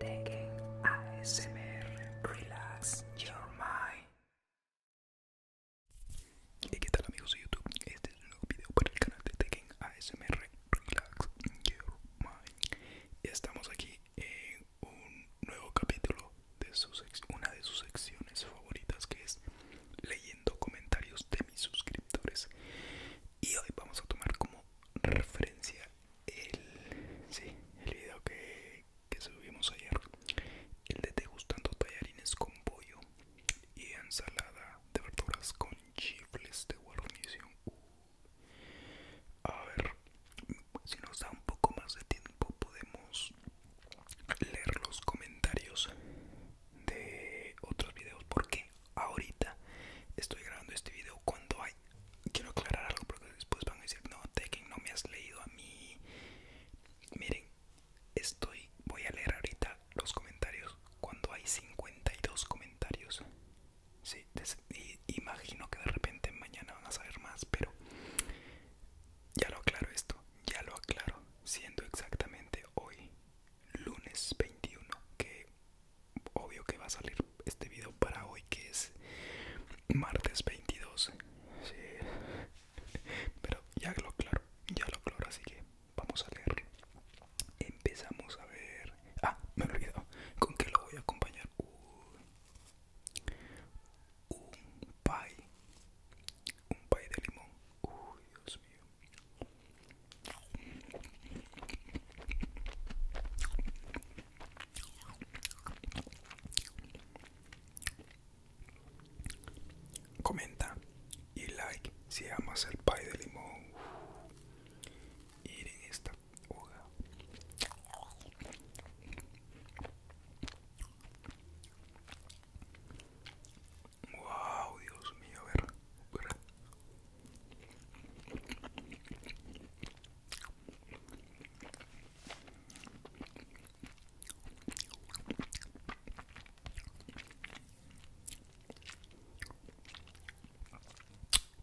Tekken ASMR Relax Your Mind. ¿Y qué tal amigos de YouTube? Este es un nuevo video para el canal de ASMR Relax Your Mind. Estamos aquí en un nuevo capítulo de una de sus secciones favoritas que es leyendo comentarios de mis suscriptores. Y hoy vamos a tomar como referencia el, sí, el video que, subimos ayer el de degustando tallarines con pollo y ensalada de verduras con chifles de guarnición uh. a ver si nos da un poco más de tiempo podemos leer los comentarios de otros videos porque ahorita estoy grabando este video cuando hay quiero aclarar algo porque después van a decir no Tekken no me has leído a mí miren estoy voy a leer ahorita los comentarios cuando hay 52 comentarios sí, imagino que de repente mañana van a saber más pero ya lo aclaro esto ya lo aclaro siendo exactamente hoy lunes 21 que obvio que va a salir este video para hoy que es martes 22 pero ya lo claro ya lo claro así que vamos a leer empezamos a ver ah me he con qué lo voy a acompañar un pay un pay de limón uy dios mío Comenta y like si amas el pay de limón. en esta Wow, Dios mío, ver.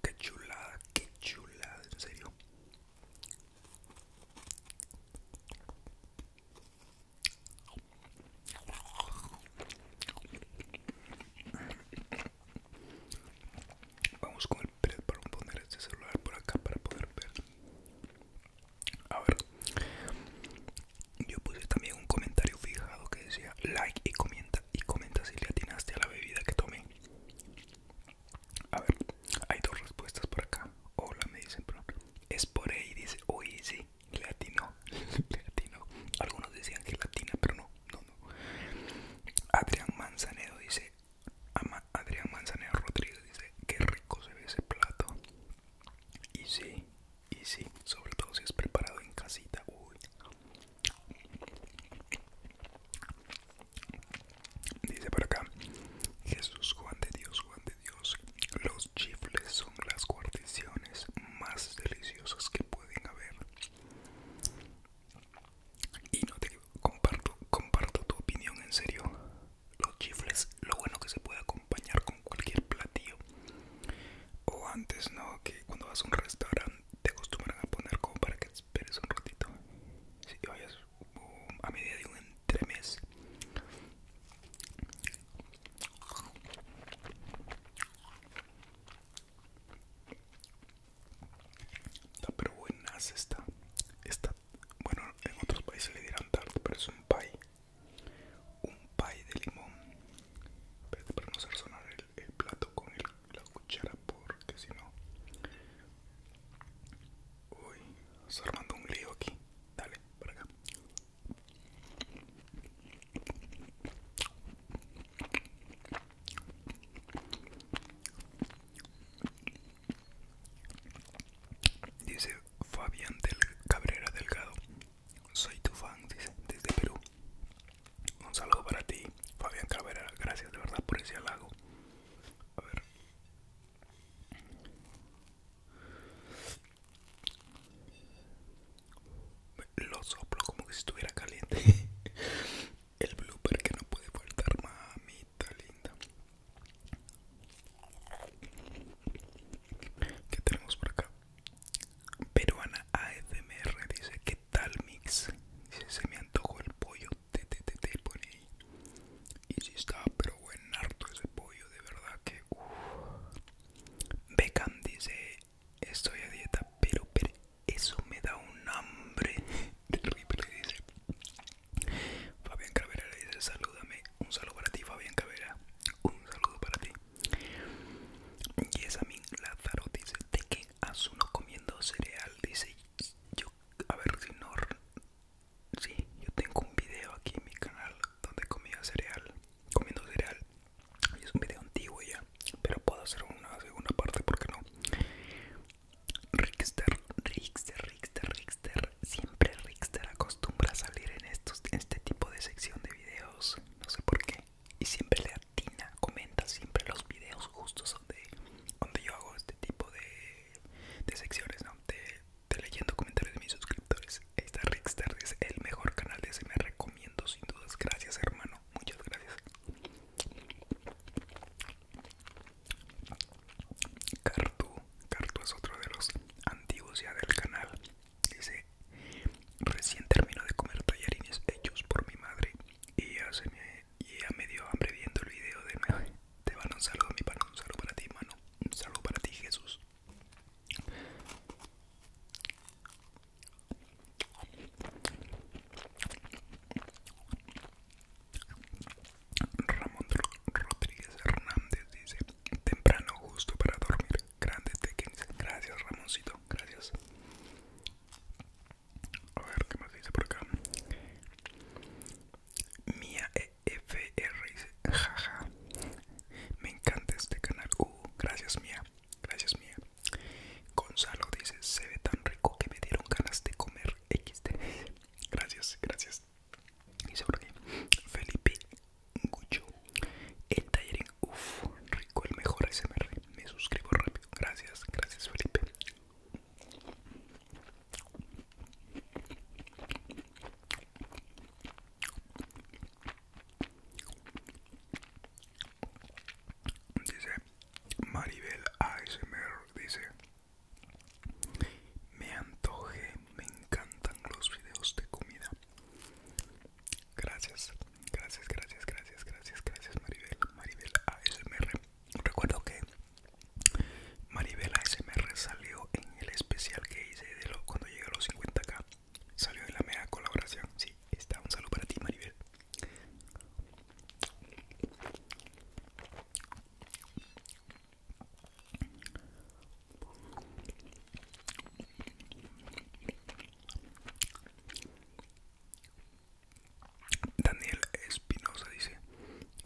Qué chulada, qué chulada, en serio. Vamos con el para poner este celular por acá para poder ver. A ver, yo puse también un comentario fijado que decía like y comenta y comenta si le atinaste a la bebida que tomé. A ver, hay dos respuestas por acá. Hola, me dicen, es por ahí, dice, Uy sí, le atinó, Algunos decían que latina, pero no. Adrián Manzanero dice, Adrián Manzanero Rodríguez dice, qué rico se ve ese plato. Y sí, y sí, sobre todo si es preparado en casita. Uy. Dice por acá, Jesús Juan de Dios, Juan de Dios, los chifles son las guarniciones más deliciosas que pueden haber. Y no te comparto, comparto tu opinión en serio. Los chifles, lo bueno que se puede acompañar con cualquier platillo. O antes, ¿no? Que cuando vas a un restaurante te acostumbran a poner como para que esperes un ratito. Si vayas um, a medida de un entremés. Está pero buenas esta, está bueno en otros países le dirán tart pero es un pie, un pie de limón. para no hacer sonar el, plato con la cuchara porque si no... Uy, se armando un lío aquí. Dale, para acá. Dice Fabián del Cabrera Delgado. Soy tu fan, desde Perú. Un saludo para ti, Fabián Cabrera. Gracias de verdad por ese halago. A ver. Lo soplo como que si estuviera caliente. El blooper que no puede faltar, mamita linda. ¿Qué tenemos por acá? Peruana AFMR dice: ¿Qué tal mix? Dice: Se me antojo el pollo. Te, pone ahí. Y si está, pero buen harto ese pollo, de verdad que. Becan Beckham dice: Estoy a dieta, pero, pero eso me da un hambre terrible, dice. Fabián Cabrera le dice, salúdame. Un saludo para ti, Fabián Cabrera, Un saludo para ti. Y a mí Lázaro dice, ¿de qué uno comiendo cereal? Dice, yo, a ver si no... Sí, yo tengo un video aquí en mi canal donde comía cereal comiendo cereal es un video antiguo ya pero puedo hacer una segunda parte porque no Rickster Rickster Rickster Rickster siempre Rickster acostumbra a salir en estos este tipo de sección de videos no sé por qué y siempre le atina comenta siempre los videos justos donde donde yo hago este tipo de, secciones no de leyendo comentarios de mis suscriptores entonces, Esta Rickstar es el mejor canal de me recomiendo sin dudas. Gracias hermano, muchas gracias. Cartu, Cartu es otro de los antiguos ya del canal. Dice, recién termino de comer tallarines hechos por mi madre y ya, me, dio hambre viendo el video de madre Te van un saludo, mi pana, un saludo para ti, mano. Un saludo para ti, Jesús. Ramón Rodríguez Hernández dice temprano justo para dormir. Grande técnico, Gracias Ramoncito. Gracias. A ver qué más dice por acá. Mía EFR dice jaja. Me encanta este canal. Uh, gracias Mia Gracias mía. Gonzalo dice, se ve tan rico que me dieron ganas de comer XD. Gracias, gracias. Y sobre aquí, Felipe Gucho. El taller, uff, rico, el mejor SMR. Me suscribo rápido. Gracias, gracias Felipe. Dice Maribel ASMR, dice Me antoje, me encantan los videos de comida Gracias, gracias, gracias, gracias, gracias, gracias Maribel, Maribel ASMR Recuerdo que Maribel ASMR salió en el especial que hice de lo, cuando llegué a los 50k Salió de la mera colaboración. Sí, está. Un saludo para ti, Maribel. Daniel Espinosa dice: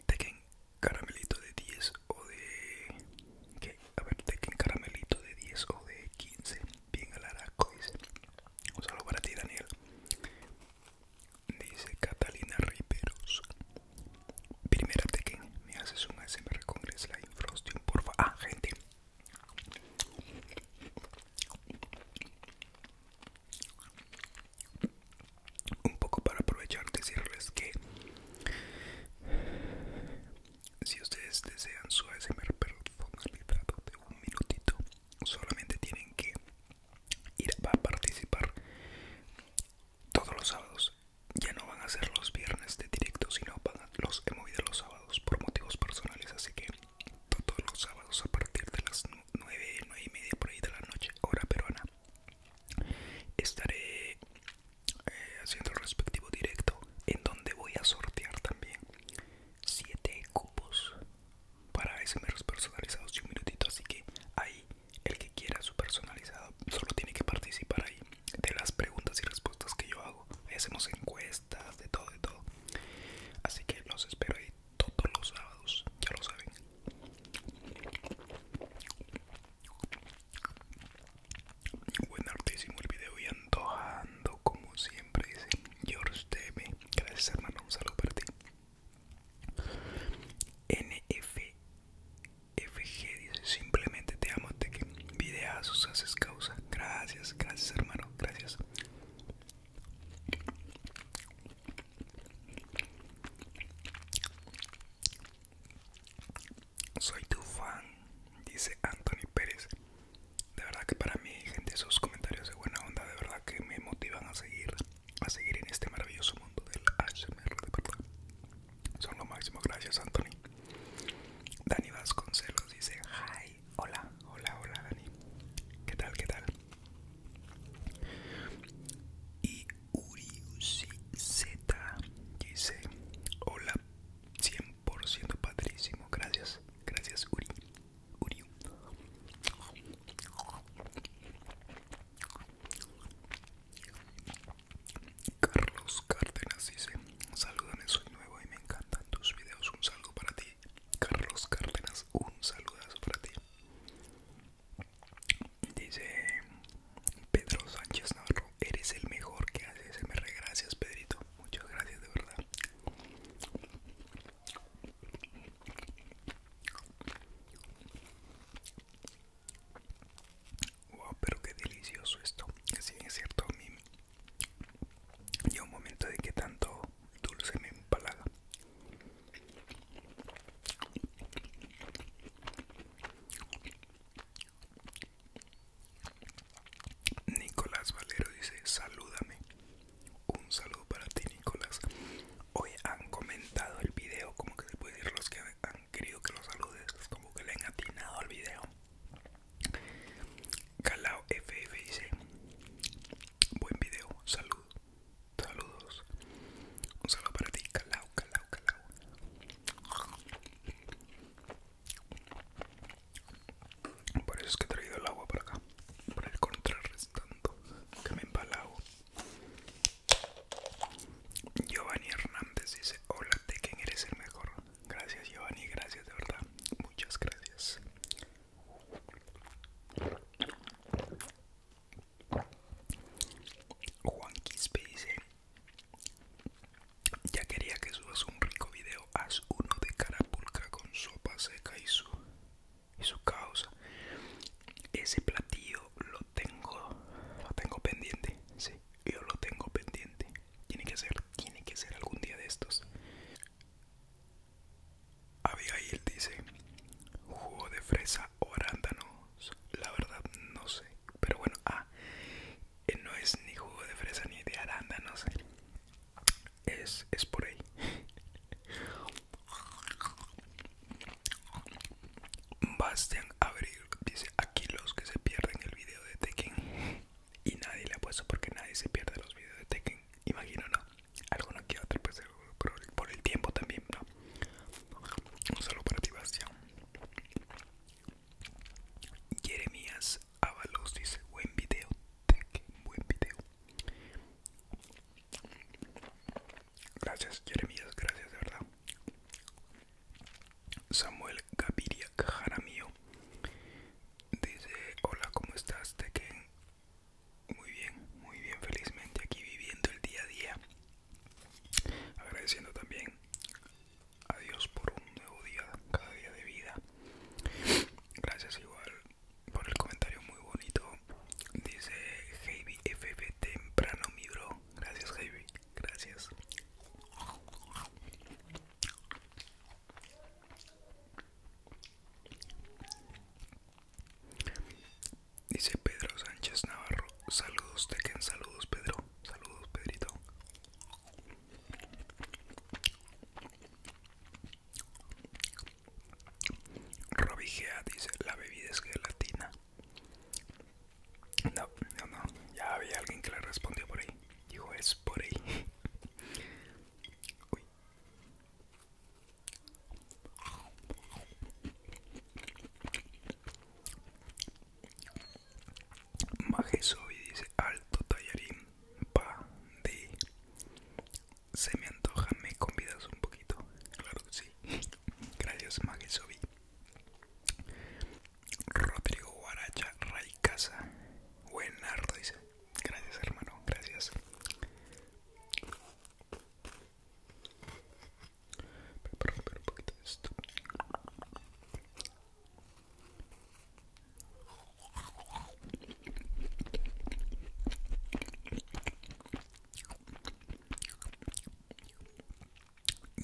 Tequen caramelito de 10 o de. ¿Qué? A ver, te caramelito de 10 o de 15. Bien al araco, dice. Un saludo para ti, Daniel. Dice Catalina Riperos. Primera Tekken, me haces un ASMR con Slime Frosting, porfa. Ah, gente. Un poco para aprovechar decirles que si ustedes desean su ASMR personalizado de un minutito, solamente tienen que ir a participar todos los sábados. Ya no van a ser los viernes de directo, sino van los he movido los sábados por motivos personales. Así que todos los sábados a partir de las 9, 9 y media por ahí de la noche, hora peruana, estaré eh, haciendo el respectivo directo en donde voy a sortear también 7 cubos para SMRs personalizados y un minutito así que ahí el que quiera su personalizado solo tiene que participar ahí de las preguntas y respuestas que yo hago hacemos encuestas de todo de todo así que los espero ahí todos los sábados ya lo saben Buen artísimo el video y antojando como siempre dice George Deme. Gracias hermano, un saludo para ti. NFFG dice simplemente te amo, te que videazos haces causa. Gracias, gracias hermano, gracias. Soy tu fan, dice Anthony Pérez. De verdad que para mí, gente, esos comentarios de buena onda, de verdad que me motivan a seguir, a seguir en este maravilloso mundo del HMR, de verdad. Son lo máximo, gracias Anthony. Dani Vasconcelos dice, hi, hola, hola, hola Dani. ¿Qué tal, qué tal? Y Uriusi Z dice, hola 100% padrísimo. Gracias, gracias, Uri. Uri. Carlos Cárdenas dice: Salúdame, soy nuevo y me encantan tus videos. Un saludo para ti, Carlos Cárdenas. Un saludazo para ti. Dice Pedro Sánchez Navarro, eres el mejor que haces. Me regracias, gracias, Pedrito. Muchas gracias, de verdad. Wow, pero qué delicioso esto. Si es cierto, a mí un momento de que tanto dulce me empalaga. Nicolás Valero dice, salúdame. Un saludo para ti, Nicolás. Hoy han comentado el video, como que se puede decir los que han querido que lo saludes, como que le han atinado al video. Calao FF dice, buen video, saludo, saludos. Un saludo para ti, Calao, Calao, Calao. Por eso es que he traído el agua para acá, para el contrarrestando que me empalago. Giovanni Hernández dice, hola que eres el mejor. Gracias Giovanni, gracias de verdad. Muchas gracias. Juan Quispe dice, ya quería que subas un rico video, haz uno de carapulca con sopa seca y su, y su causa. Ese platillo lo tengo, lo tengo pendiente, sí, yo lo tengo pendiente. Tiene que ser, tiene que ser algún día de estos. él dice, jugo de fresa o arándanos, la verdad no sé, pero bueno, ah, eh, no es ni jugo de fresa ni de no es, es por ahí Bastian Abril dice aquí los que se pierden el video de Tekken y nadie le ha puesto porque nadie se pierde los videos de Tekken imagino no alguno que otro pues, eh, por el tiempo también no un saludo para ti Bastian Jeremías Avalos dice buen video, buen video. Gracias Jeremías, gracias de verdad. Samuel Gaviria Jaramillo dice hola, ¿cómo estás? Tekken? Muy bien, muy bien, felizmente aquí viviendo el día a día Agradeciendo también a Dios por un nuevo día, cada día de vida. Gracias igual por el comentario muy bonito. Dice Heavy FB temprano mi bro. Gracias Heavy. Gracias. Dice Pedro Sánchez Navarro, saludos de quien saludos Pedro. Saludos, Pedrito. Robigea dice, la bebida es gelatina. No, no, no. Ya había alguien que le respondió por ahí. Dijo, es por ahí. Uy. Majesovi dice alto tallarín pa de se me antoja me convidas un poquito claro que sí gracias Majesovi Rodrigo Guaracha Raicasa buenardo dice gracias hermano gracias pero un poquito de esto.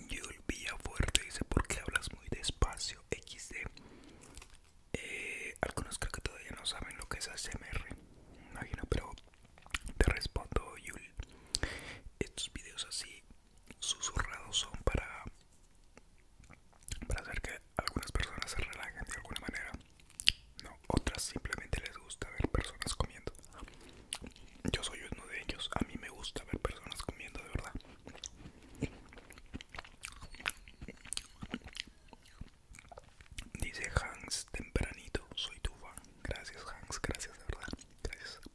Yul Villafuerte dice porque hablas muy despacio XD eh, Algunos creo que todavía no saben lo que es ASMR Imagino pero te respondo Yul Estos videos así susurrados son para, para hacer que algunas personas se relajen de alguna manera. No, otras simplemente les gusta ver personas comiendo. Yo soy uno de ellos. A mí me gusta ver personas comiendo, de verdad. Dice Hans tempranito, soy tu fan. Gracias Hans, gracias de verdad. Gracias.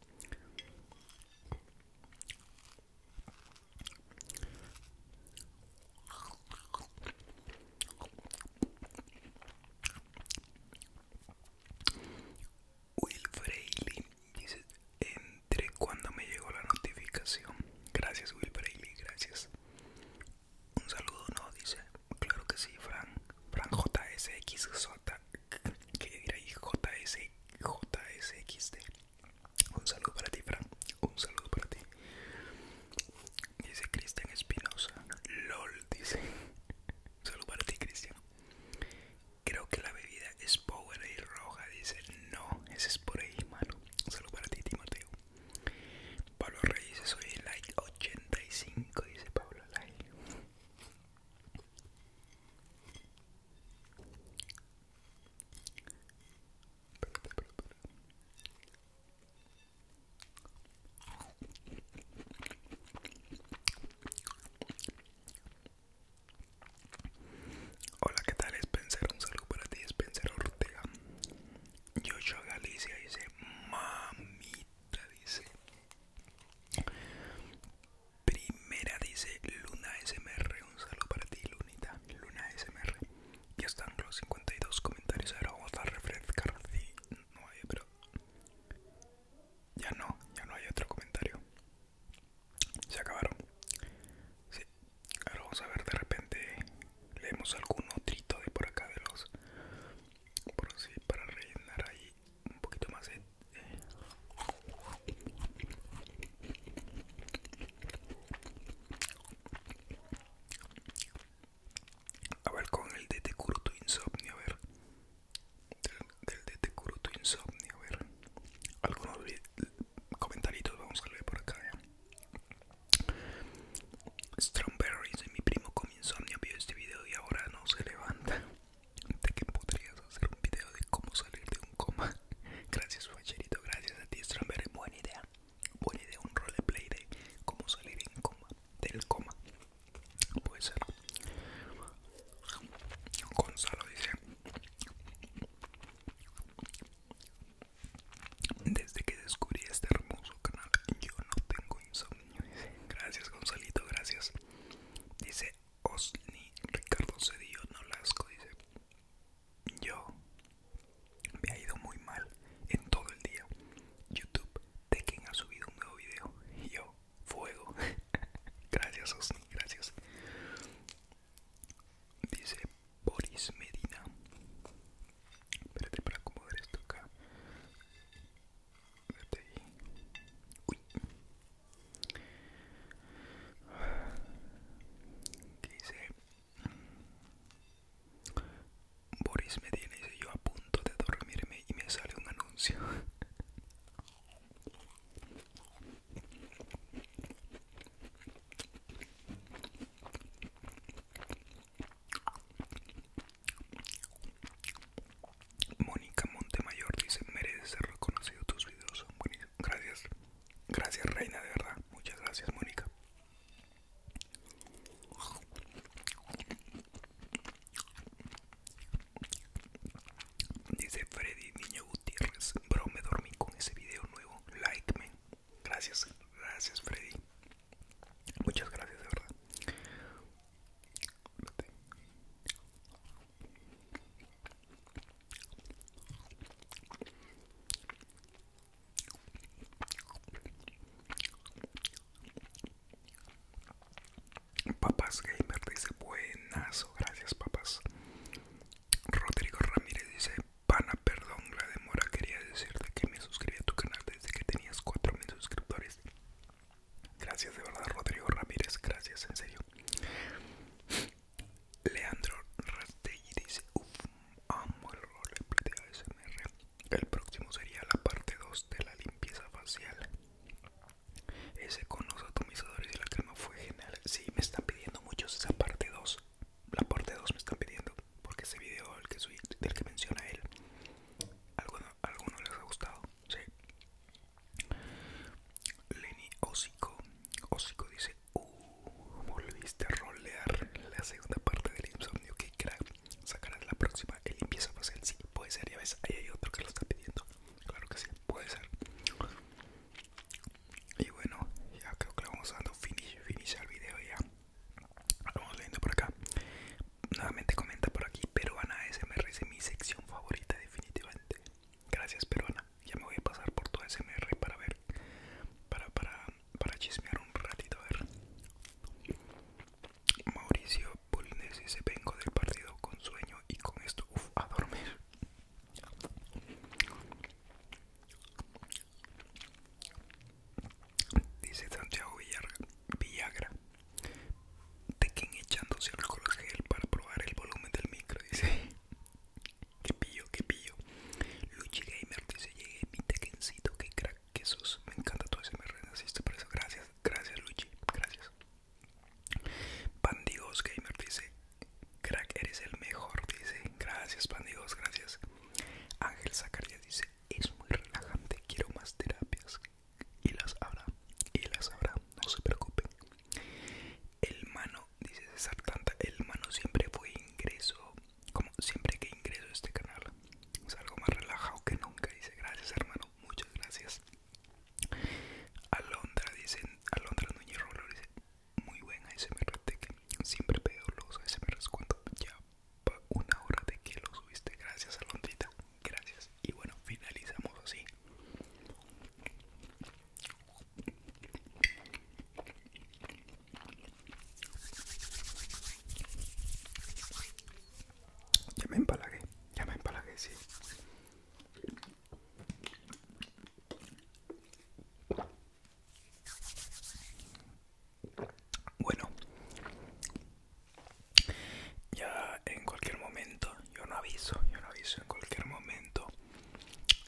Will Freiley dice entre cuando me llegó la notificación. Gracias Will gracias. Un saludo no dice. Claro que sí, Fran. Fran JSXJ que dirá ahí? JS, JSXD. Un saludo para ti, Fran. Un saludo para ti. Dice Cristian Espinosa. LOL, dice. Un saludo para ti, Cristian. Creo que la bebida es y roja, dice. No, ese es por ahí, mano. Un saludo para ti, Timoteo. Pablo Reyes, soy like 85, dice Pablo Like. Hola, ¿qué tal Spencer? Un saludo para ti, Spencer Ortega. Yo yo Galicia dice, mamita, dice, Primera dice Luna SMR, un saludo para ti Lunita, Luna SMR. Ya están los 52 comentarios, ahora vamos a refrescar si no hay, pero ya no, ya no hay otro comentario. Se acabaron. Sí. Ahora vamos a ver de repente leemos algún otrito de por acá de los por así para rellenar ahí un poquito más de a ver con el de Curuto Insomnio, a ver. Del, te Curuto Insomnio, a ver. Algunos comentarios vamos a ver por acá. Strawberries Strawberries, mi primo con insomnio vio este video y ahora no se levanta de que podrías hacer un video de cómo salir de un coma. Gracias, facherito, gracias a ti, Stramberry. Buena idea, buena idea, un roleplay de cómo salir coma, del coma. Puede ser. Gonzalo dice: Desde que descubrí este hermoso canal, yo no tengo insomnio. Gracias, Gonzalito, gracias. Dice Osni Ricardo Cedillo Nolasco, dice Yo me ha ido muy mal en todo el día. YouTube, de quien ha subido un nuevo video. yo, fuego. gracias Osni, gracias. Dice Boris Medina. Espérate para acomodar esto acá. ¿Qué dice? Boris me tiene, dice yo a punto de dormirme y me sale un anuncio. Mónica Montemayor dice, mereces ser reconocido, tus videos Gracias, gracias reina, de verdad. Muchas gracias, Mónica. Dice Freddy Niño Gutiérrez, bro, me dormí con ese video nuevo. Like, me Gracias, gracias, Freddy. Muchas gracias, de verdad. Papas Gamer dice buenazo, gracias papas. Rodrigo Ramírez dice, pana, perdón, la demora, quería decirte que me suscribí a tu canal desde que tenías 4.000 suscriptores Gracias de verdad, Rodrigo Ramírez. Gracias, en serio. Leandro Rastelli dice: amo el de El próximo sería la parte 2 de la limpieza facial. Ese con los atomizadores y la crema fue genial. Sí, me están pidiendo muchos esa parte 2. La parte 2 me están pidiendo. Porque ese video el que del que menciona él, algo ¿Alguno les ha gustado, sí. Lenny Osico, Osico dice, uh, volviste a rolear la segunda parte del insomnio, que crack, sacarás la próxima, el limpieza en sí, puede ser, ya ves, ahí hay otro que lo está pidiendo, claro que sí, puede ser. Y bueno, ya creo que le vamos dando finish, finish al video ya. Vamos leyendo por acá. Nuevamente comenta por aquí, peruana SMR es mi sección favorita definitivamente. Gracias peruana. Ya me voy a pasar por tu SMR para ver, para, para, chismear un ratito. A ver. Mauricio Polines dice, vengo del partido con sueño y con esto, a dormir dice Santiago Villagra, tequen echándose alcohol gel para probar el volumen del micro, dice, que pillo, que pillo, Luchi Gamer dice, llegué mi tequencito, que crack, que me encanta ese SMR, por eso, gracias, gracias Luchi, gracias. Pandigos Gamer dice, crack, eres el mejor, dice, gracias Pandigos, gracias. Ángel Zacarías dice, es muy relajante, quiero más terapias, y las habrá, y las habrá, no se preocupen. El mano, dice César Tanta, el mano siempre fue ingreso, como siempre que ingreso a este canal. Es algo más relajado que nunca, dice gracias hermano, muchas gracias. Alondra, dice, Alondra Núñez Rollo dice, muy buen ASMR, siempre veo los ASMRs cuando ya una hora de que lo subiste. Gracias, Alondrita. Gracias. Y bueno, finalizamos así. Ya me empalagué, ya me empalagué, sí. Bueno, ya en cualquier momento, yo no aviso, yo no aviso, en cualquier momento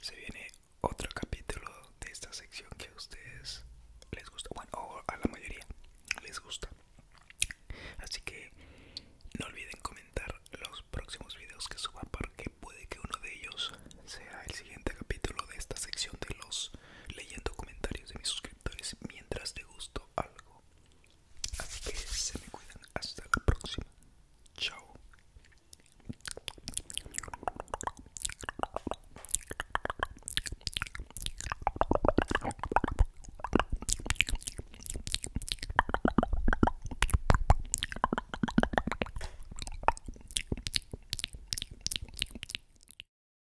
se viene otro capítulo de esta sección que a ustedes les gusta, bueno, o a la mayoría les gusta. Así que no olviden comentar los próximos videos que suba porque puede que uno de ellos sea el siguiente capítulo de esta sección de los leyendo comentarios de mis suscriptores mientras de gusto algo. Así que se me cuidan. Hasta la próxima. Chao.